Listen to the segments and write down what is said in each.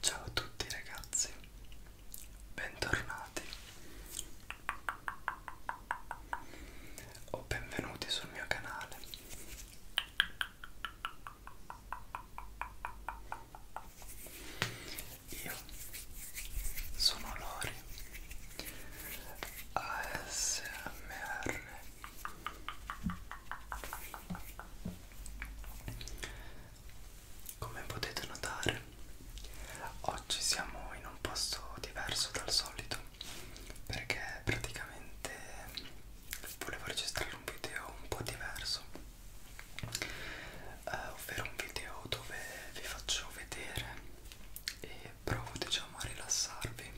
Ciao a tutti ragazzi, bentornati o benvenuti sul mio canale. Io sono Lori ASMR come potete notare oggi siamo in un posto diverso dal solito perché praticamente volevo registrare un video un po' diverso eh, ovvero un video dove vi faccio vedere e provo diciamo a rilassarvi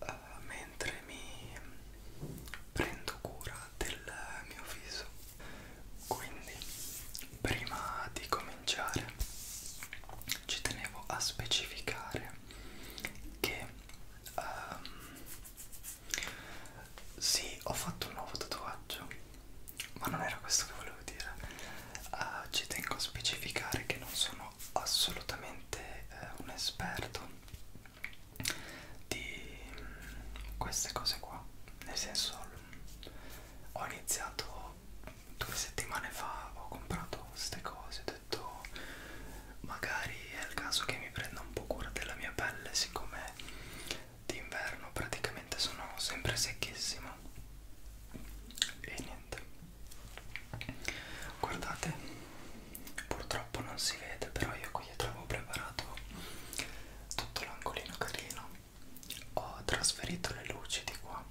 uh, mentre mi prendo cura del mio viso quindi prima di cominciare ci tenevo a specificare che um, sì ho fatto un nuovo tatuaggio ma non era questo che volevo dire uh, ci tengo a specificare che non sono assolutamente uh, un esperto di mm, queste cose qua nel senso ho iniziato due settimane fa ho comprato queste cose ho detto magari è il caso che mi prenda un po' cura della mia pelle siccome d'inverno praticamente sono sempre secchissimo e niente guardate purtroppo non si vede però io qui dietro avevo preparato tutto l'angolino carino ho trasferito le luci di qua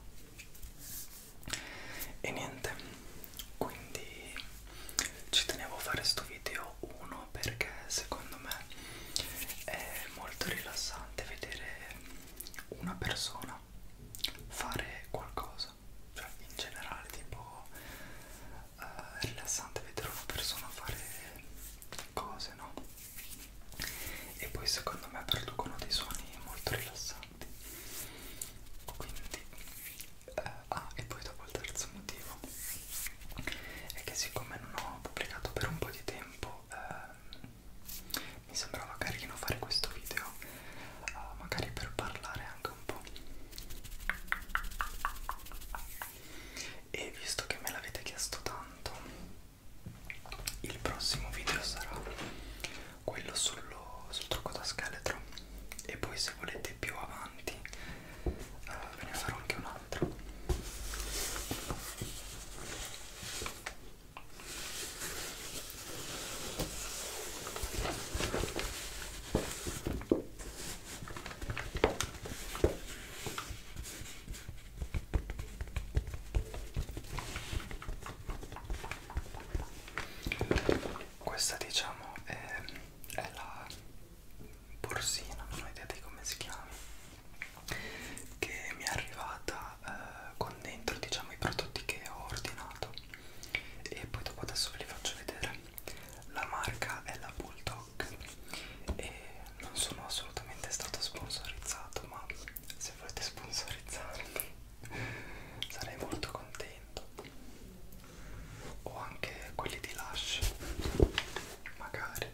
e niente quindi ci tenevo a fare sto video uno perché secondo me è molto rilassante vedere una persona fare qualcosa cioè in generale tipo eh, è rilassante vedere una persona fare cose no e poi secondo me producono dei suoni molto rilassanti quindi eh, ah e poi dopo il terzo motivo è che siccome non ho pubblicato per un po' di tempo ehm, mi sembrava carino fare questo video eh, magari per parlare anche un po' e visto che me l'avete chiesto tanto il prossimo video sarà quello sullo, sul trucco da scheletro e poi se volete più avanti eh, ve ne farò anche un altro questa diciamo è, è la borsina, non ho idea di come si chiami, che mi è arrivata eh, con dentro diciamo i prodotti che ho ordinato e poi dopo adesso ve li faccio vedere la marca è la Bulldog e non sono assolutamente stato sponsorizzato ma se volete sponsorizzarmi sarei molto contento o anche quelli di Lush magari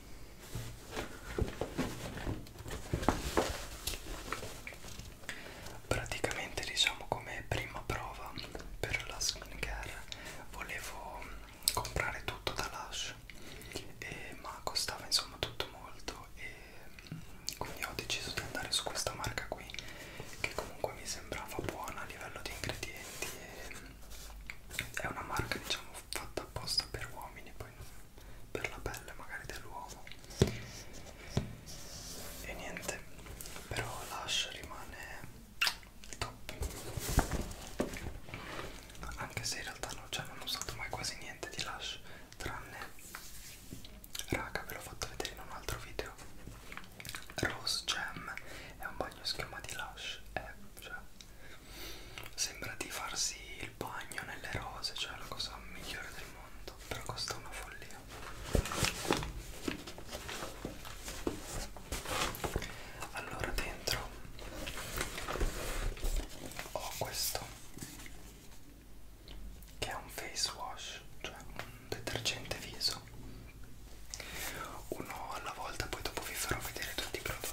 praticamente diciamo come prima prova per la skincare volevo mm, comprare tutto da Lush e, ma costava insomma tutto molto e mm, quindi ho deciso di andare su questa marca qui che comunque mi sembrava buona a livello di ingredienti e, mm, è una marca diciamo fatta apposta per uomini poi per la pelle magari dell'uomo e niente però l'ash rimane top anche se in realtà non, cioè, non ho usato mai quasi niente di lash tranne raga ve l'ho fatto vedere in un altro video Rose Gem è un bagno schiuma di lash è eh, cioè sembra di farsi il bagno nelle rose, cioè la cosa migliore del mondo, però costa una follia. Allora dentro ho questo che è un face wash, cioè un detergente viso. Uno alla volta, poi dopo vi farò vedere tutti i prodotti.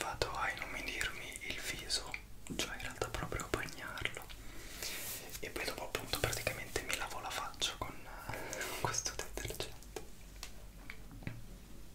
Vado a inumidirmi il viso, cioè in realtà proprio a bagnarlo e poi dopo appunto praticamente mi lavo la faccia con questo detergente.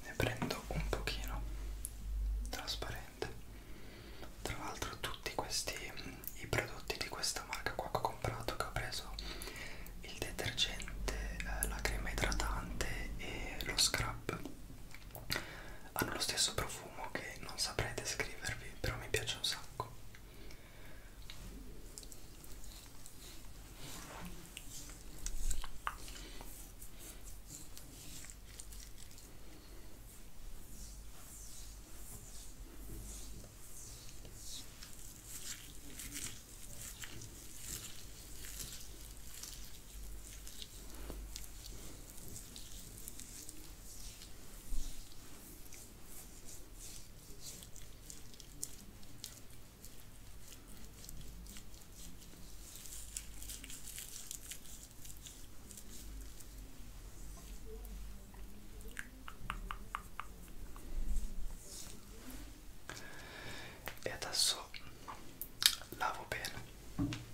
ne prendo un pochino trasparente tra l'altro tutti questi i prodotti di questa marca qua che ho comprato che ho preso il detergente eh, la crema idratante e lo scrub hanno lo stesso profumo che non saprei descrivervi però mi piace un sacco e adesso lavo bene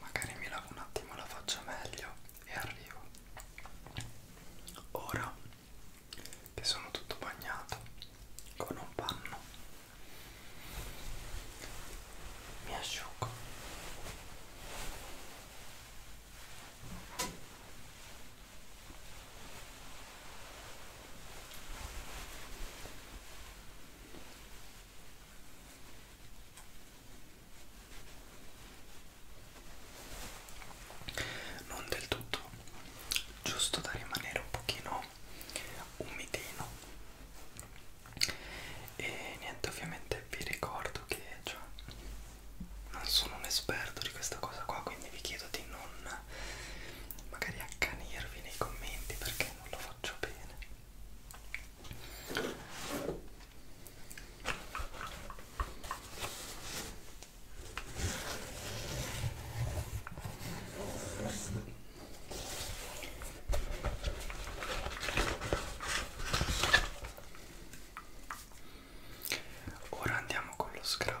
magari mi lavo un attimo la faccia meglio e arrivo ora che sono tutto bagnato con un panno mi asciugo non del tutto giusto da rimanere un pochino umidino e niente ovviamente vi ricordo che cioè, non sono un esperto di questa cosa qua quindi vi chiedo di non magari accanirvi nei commenti perché non lo faccio bene Ora andiamo con lo scrub.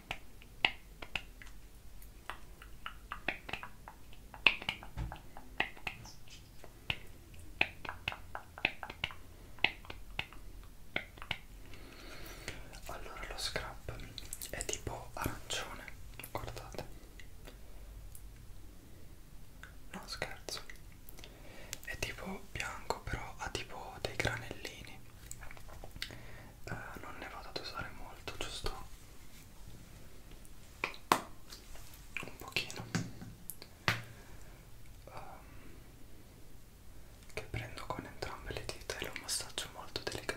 Allora lo scrub è tipo arancione, guardate. No scherzo. È tipo bianco però ha tipo dei granellini eh, non ne vado ad usare molto, giusto un pochino um, che prendo con entrambe le dita e lo massaggio molto delicatamente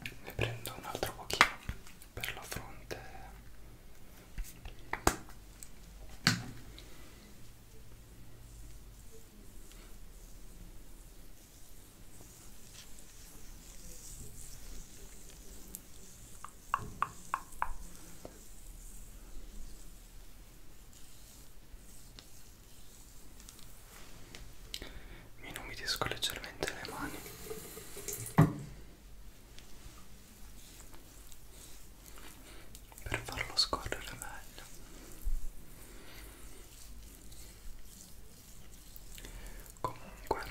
ne prendo un altro pochino per la fronte mi inumidisco leggermente le mani per farlo scorrere meglio comunque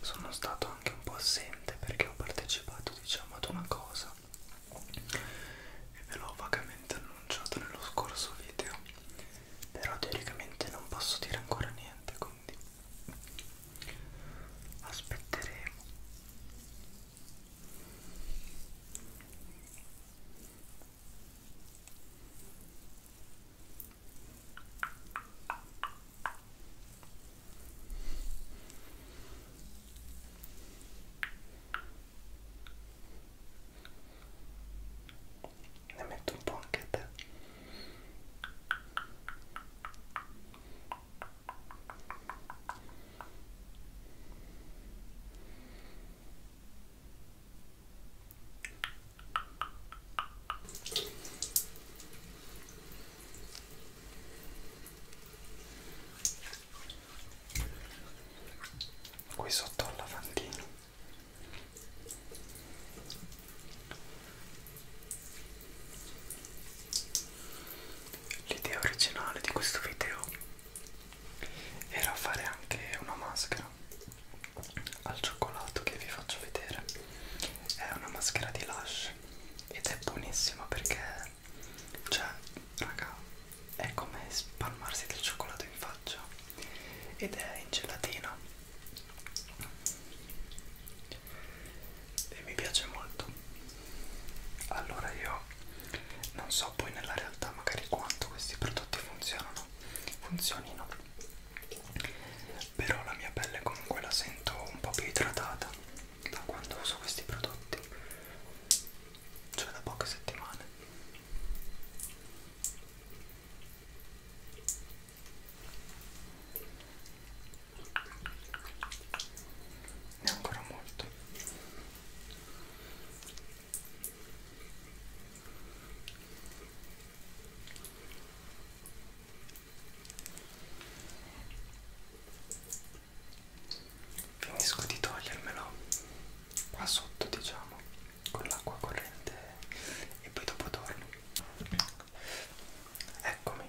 sono stato anche un po' assente perché ho partecipato diciamo ad una cosa e ve l'ho vagamente annunciato nello scorso video però teoricamente non posso dire ancora niente quindi aspetteremo ne metto un po' anche a te qui sotto al lavandino L'idea originale di questo video era fare anche una maschera al cioccolato che vi faccio vedere. È una maschera di Lush ed è buonissima perché cioè, raga, è come spalmarsi del cioccolato in faccia ed è in gelatina e mi piace molto allora io non so poi nella realtà magari quanto questi prodotti funzionano funzionino però la mia pelle comunque la sento un po' più idratata da quando uso questi prodotti cioè da poche settimane e ancora molto finisco di togliermelo qua sotto diciamo con l'acqua corrente e poi dopo torno eccomi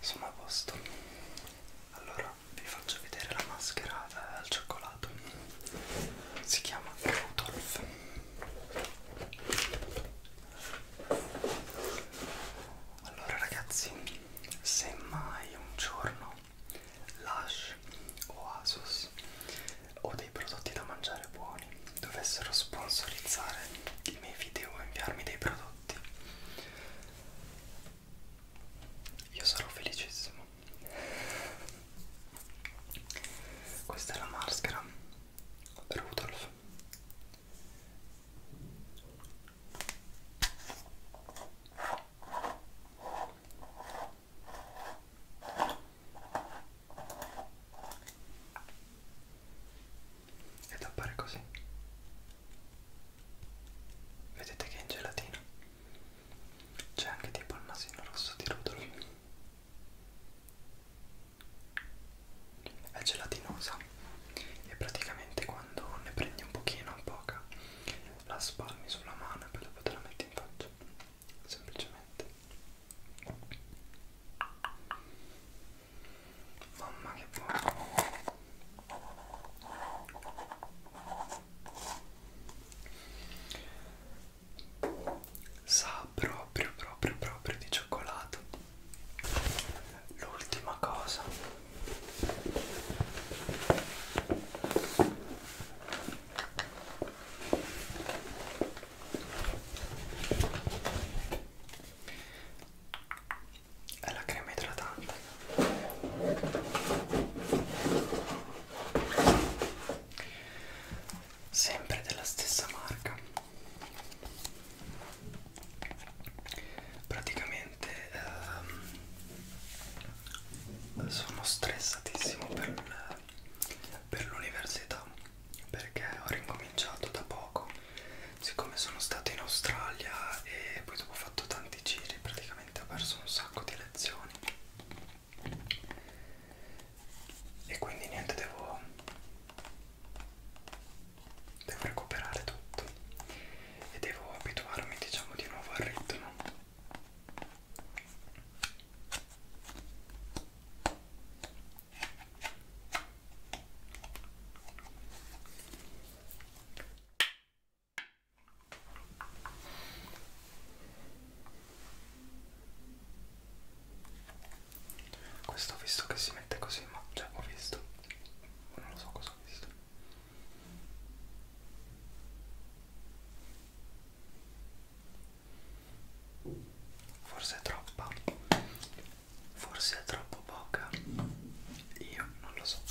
Sono a posto. Allora vi faccio vedere la mascherata al cioccolato si chiama Rudolf allora ragazzi se mai un giorno Lush o Asus o dei prodotti da mangiare buoni dovessero sponsorizzare i miei video o inviarmi dei prodotti io sarò felicissimo questa è la maschera Rudolf ed appare così vedete che è in gelatina c'è anche tipo il nasino rosso di Rudolf. È gelatinosa e praticamente quando ne prendi un pochino, un poca, la spalmi sulla mano e poi dopo te la metti in faccia. Semplicemente. Mamma che buono sa proprio proprio proprio di cioccolato l'ultima cosa è la crema idratante sempre della stessa marca praticamente ehm, sono stressatissimo per, per l'università perché ho ricominciato da poco siccome sono stato in Australia e poi dopo ho fatto tanti giri praticamente veramente ho perso un sacco di lezioni e quindi niente devo devo recuperare tutto e devo abituarmi diciamo di nuovo al ritmo questo ho visto che si mette così, ma cioè ho visto, non lo so cosa ho visto. Forse è troppa, forse è troppo poca, io non lo so.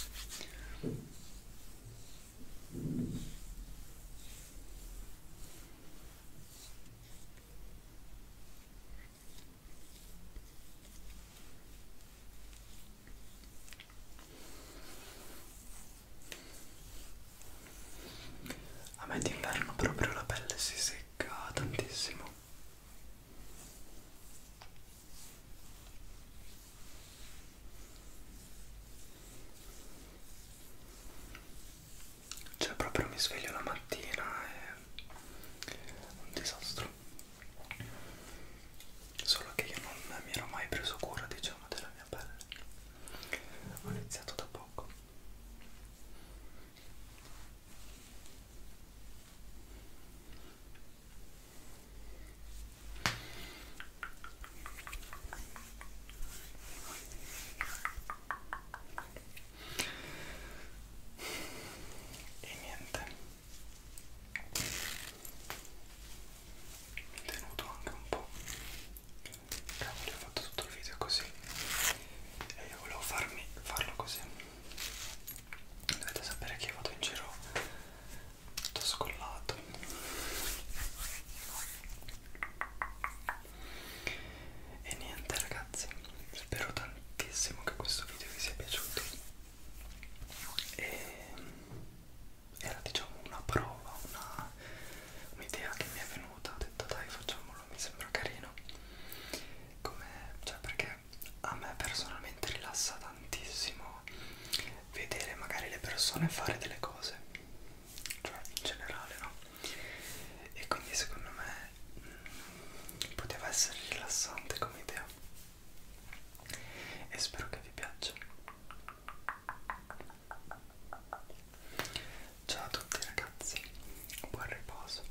A me d'inverno proprio la pelle si secca tantissimo. Cioè proprio mi sveglio la mattina è un disastro. Solo che io non mi ero mai preso cura, diciamo, della mia pelle. Ho iniziato da poco e niente mi tenuto anche un po' cavolo ho fatto tutto il video così e io volevo farmi farlo così dovete sapere che io vado in giro tutto scollato e niente ragazzi spero tantissimo che questo video vi sia piaciuto e era diciamo una prova un'idea un che mi è venuta ho detto dai facciamolo mi sembra carino come cioè perché a me personalmente rilassa tantissimo vedere magari le persone fare delle cose cioè in generale no e quindi secondo me mh, mm, poteva essere rilassante come idea e spero che vi piaccia ciao a tutti ragazzi buon riposo